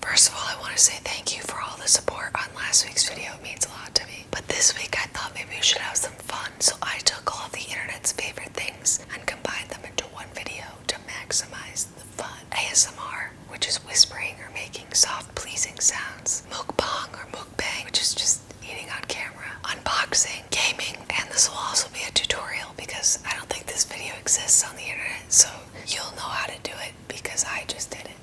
First of all, I want to say thank you for all the support on last week's video. It means a lot to me. But this week, I thought maybe we should have some fun, so I took all the internet's favorite things and combined them into one video to maximize the fun. ASMR, which is whispering or making soft, pleasing sounds. Mukbang or mukbang, which is just eating on camera. Unboxing gaming and this will also be a tutorial because I don't think this video exists on the internet so you'll know how to do it because I just did it.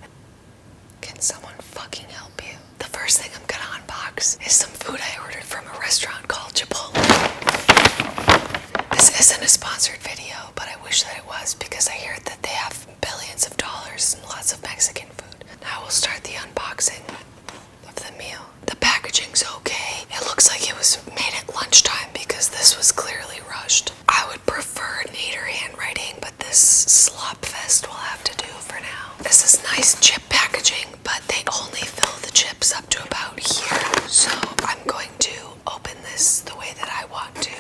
Can someone fucking help you? The first thing I'm gonna unbox is some food I ordered from a restaurant called Chipotle. This isn't a sponsored video but I wish that it was because I hear that they have billions of dollars and lots of Mexican food. Now we'll start the unboxing of the meal. The packaging's okay. It looks like it was made at lunchtime because this was clearly rushed. I would prefer neater handwriting, but this slop fest will have to do for now. This is nice chip packaging, but they only fill the chips up to about here. So I'm going to open this the way that I want to.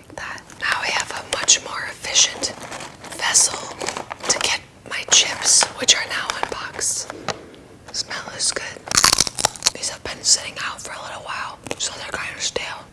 Like that. Now we have a much more efficient vessel to get my chips, which are now unboxed. Smell as good. These have been sitting out for a little while, so they're kind of stale.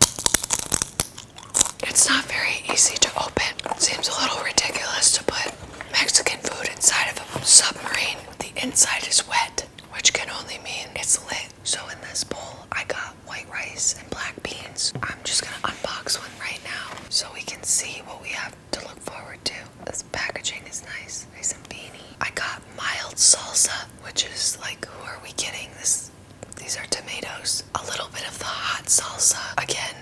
It's not very easy to open. Seems a little ridiculous to put Mexican food inside of a submarine. The inside is wet, which can only mean it's lit. So in this bowl, I got white rice and black beans. I'm just gonna unbox one right now so we can see what we have to look forward to. This packaging is nice. Nice and beanie. I got mild salsa, which is like, who are we kidding? This, these are tomatoes. A little bit of the hot salsa. Again,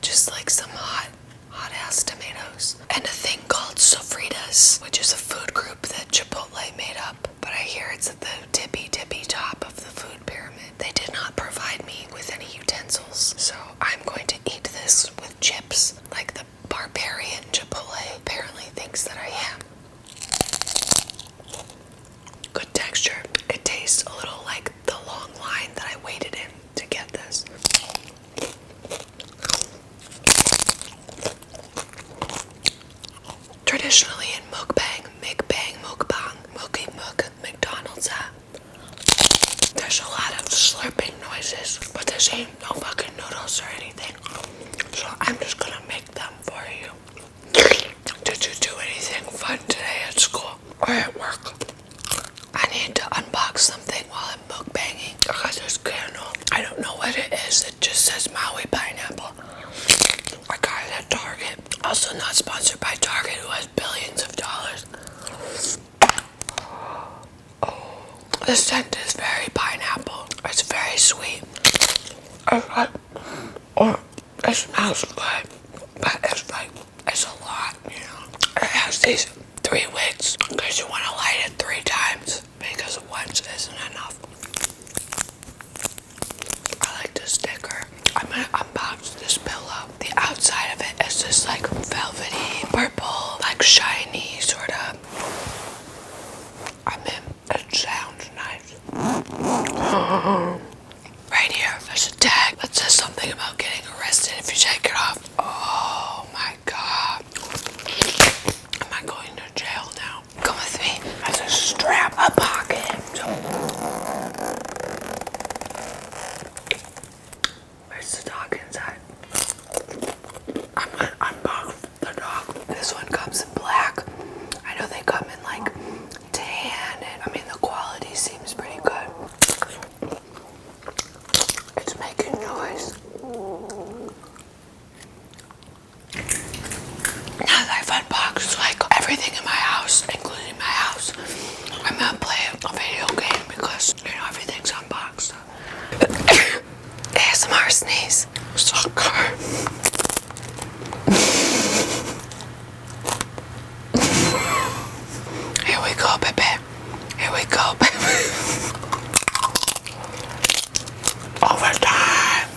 just like some hot, hot ass tomatoes. And a thing called sofritas, which is a food group that Chipotle made up. But I hear it's at the tippy tippy top of the food pyramid. They did not provide me with any utensils, so I'm going to eat this with chips like the barbarian Chipotle apparently thinks that I am. Good texture. It tastes a little like the long line that I waited in to get this. Traditionally in mukbang, mukbang, mukbang, mookie mook, McDonald's, uh, there's a lot of slurping noises, but there's ain't no fucking noodles or anything. So I'm just gonna make them for you. Did you do anything fun today at school or at work? I need to unbox something while I'm mukbanging because there's candle. I don't know what it is. It just says Maui pineapple. I got it at Target. Also not sponsored by Target who has billions of dollars. The scent is very pineapple. It's very sweet. It's like, oh, it smells good, but it's like, it's a lot, you know. It has these three wicks because you want to light it three times because once isn't enough. I like this sticker. I'm gonna unbox this pillow the outside of it is just like velvety purple, like shiny sort of. I am mean, it sounds nice. Right here, there's a tag that says something about getting arrested if you take it off. Oh my god. Am I going to jail now? Come with me. There's a strap, a pocket. Where's the dog inside? I'm gonna unbox the dog. This one comes in black. I know they come in like tan, and I mean, the quality seems pretty good. It's making noise. Now I've unboxed like everything in my house, including in my house. I'm not playing a video game because you know everything's unboxed. ASMR sneeze. Soccer. Here we go, baby. Here we go, baby. Overtime.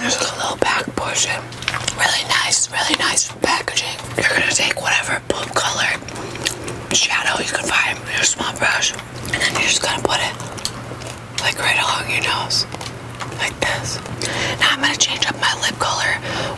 There's a little back portion. Really nice, really nice packaging. You're gonna take whatever poop color shadow you can find your small brush. And then you're just gonna put it like right along your nose. Like this. Now I'm gonna change up my lip color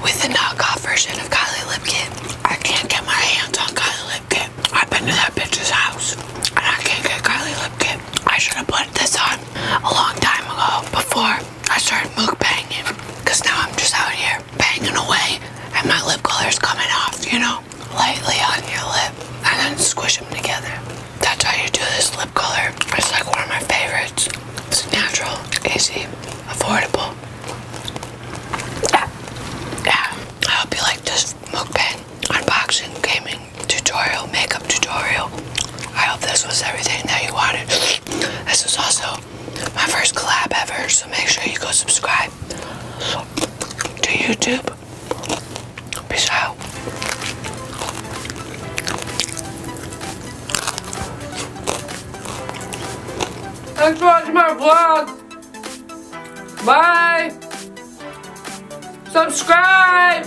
with the knockoff version of Kylie Lip Kit. I can't get my hands on Kylie Lip Kit. I've been to that bitch's house and I can't get Kylie Lip Kit. I should have put this on a long time ago before I started mukbanging. Cause now I'm just out here banging away and my lip color's coming off, you know? Lightly on your lip and then squish them together. That's how you do this lip color. It's like one of my favorites. It's natural, easy, affordable. Yeah. yeah. I hope you like this mukbang, unboxing, gaming tutorial, makeup tutorial. I hope this was everything that you wanted. This is also my first collab ever, so make sure you go subscribe to YouTube. Peace out. Thanks for watching my vlog. Bye. Subscribe.